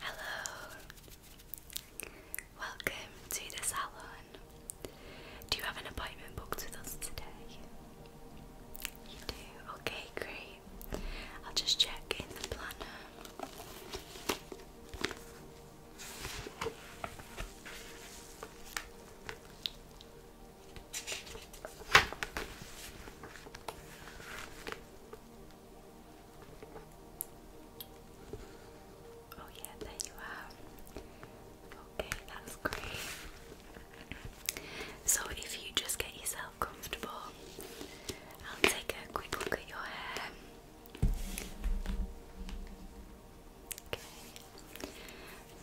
Hello. Welcome to the salon. Do you have an appointment booked with us today? You do. Okay, great. I'll just check in the planner. Oh, yeah, there you are. Okay, that's great. So, if you just get yourself comfortable, I'll take a quick look at your hair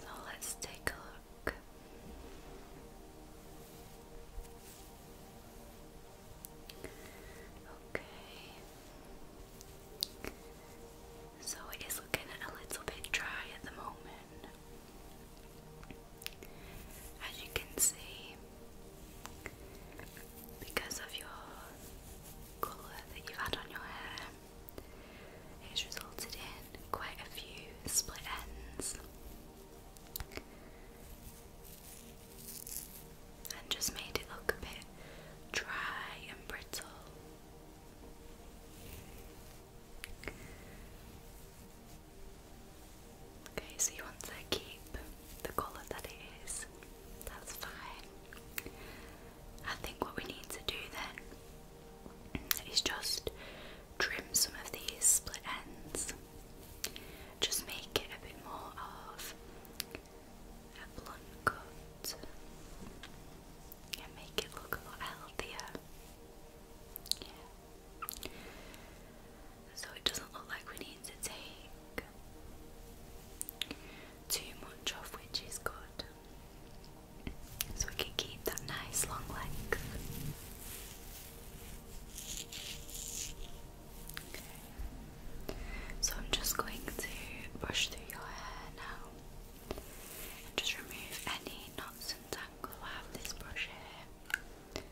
so let's take a look. Okay, so it is looking a little bit dry at the moment. As you can see, because of your colour that you've had on your hair, it's resulted in quite a few split ends. And just made it look a bit dry and brittle. Okay, so you want to keep the colour that it is. That's fine. I think what we need to do then is just trim some of these split ends. Just make it a bit more of a blunt cut and make it look a lot healthier. So it doesn't look like we need to take too much of which is good. So we can keep that nice long length. So I'm just going to brush through your hair now. And just remove any knots and tangles. I have this brush here.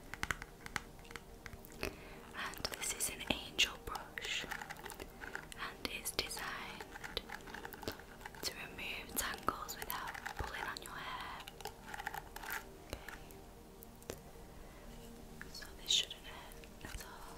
And this is an angel brush, and it's designed to remove tangles without pulling on your hair. So this shouldn't hurt at all.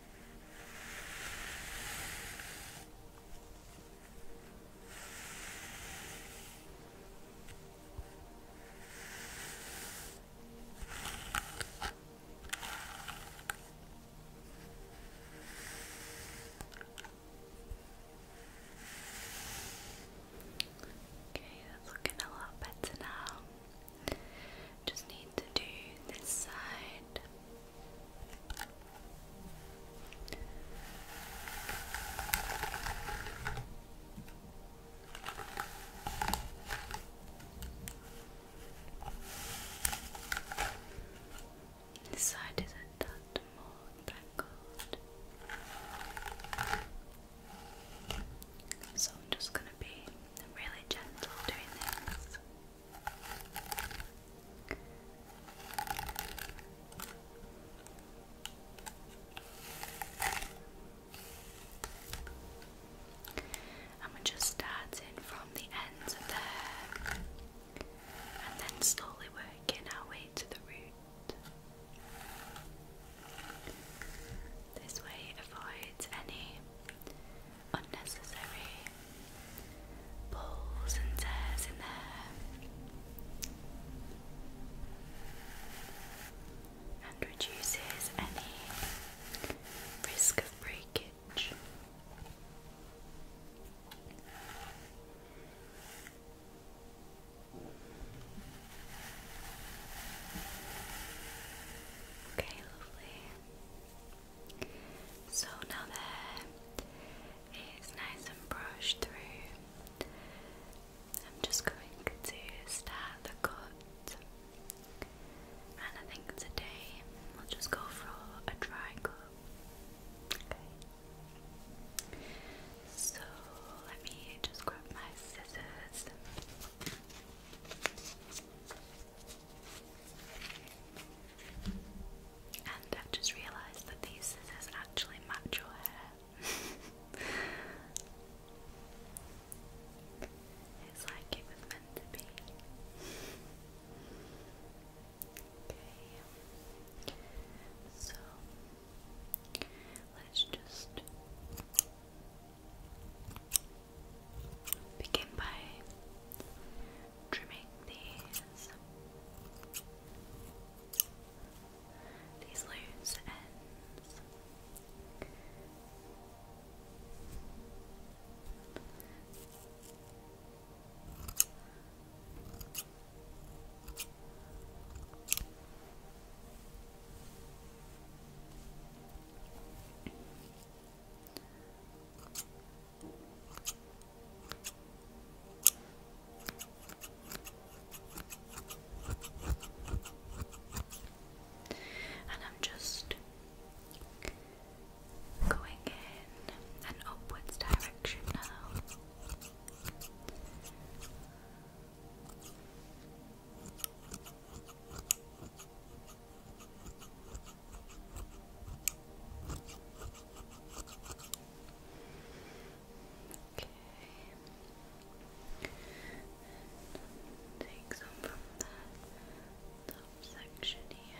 Okay, that's looking a lot better now. Just need to do this side. This side isn't that more tangled. So I'm just gonna going to be really gentle doing this. And we're just starting from the ends of the and then slowly working our way to the root. This way avoids any unnecessary pulls and tears in there and reduces any risk of breakage. Okay, lovely. So now that it's nice and brushed through, I'm just going to start the cut. And I think today we'll just go for a dry Okay. So let me just grab my scissors. And I've just realised that these scissors actually match your hair. it's like it was meant to be. Okay. So let's just Begin by trimming these these loose and I'm just going in an upwards direction now. And take some from the top section here.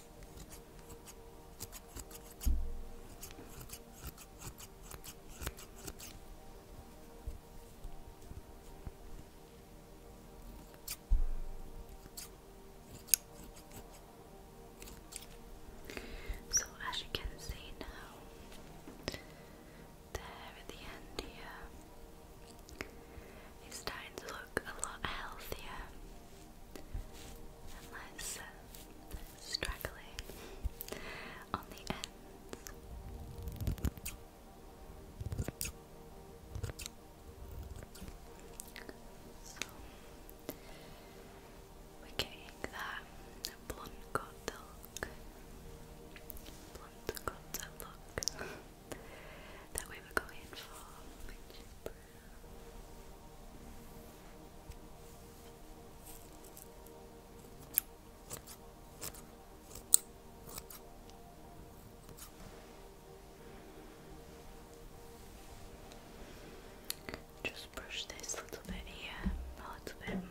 So, as you can see now, there at the end here, He's starting to look a lot healthier and less uh, on the ends. So we're getting that blunt cut look. Blunt cut look. that we were going for, Just brush this little bit here, a little bit more.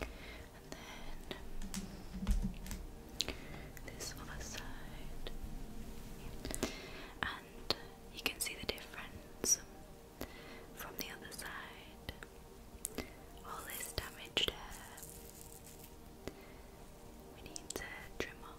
And then this other side. And you can see the difference from the other side. All this damaged hair we need to trim off.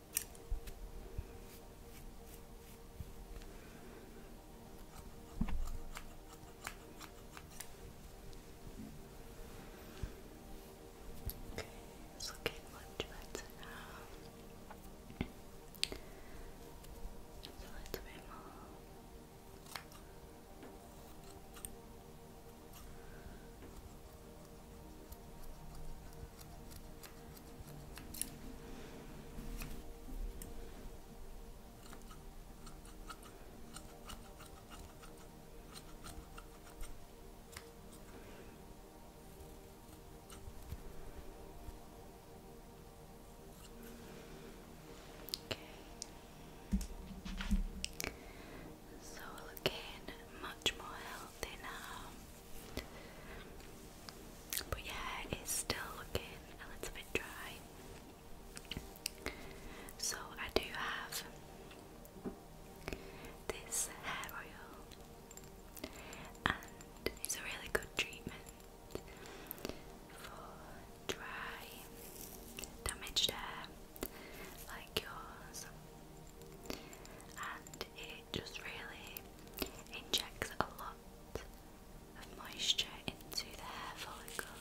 Okay, it's looking much better now. Just a little bit Okay. So again, much more but yeah, it's still looking a little bit dry. So I do have this hair oil, and it's a really good treatment for dry, damaged hair like yours. And it it just really injects a lot of moisture into the hair follicle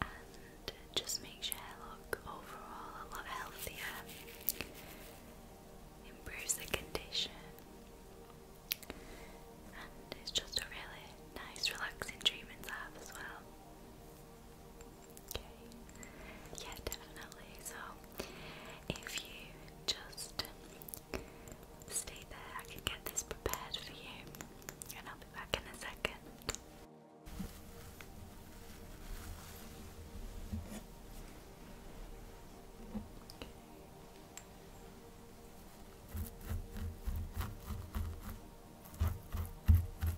and just makes your hair look overall a lot healthier, improves the condition, and it's just a really nice, relaxing treatment to have as well. Okay. Yeah, definitely. So if you just stay there, I can get this prepared for you, and I'll be back in a second.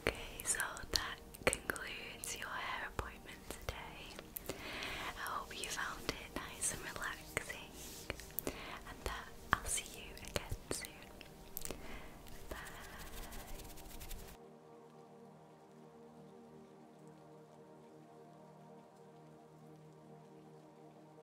Okay, so that concludes your hair appointment today. I hope you found it nice and relaxing, and that I'll see you again soon. Bye.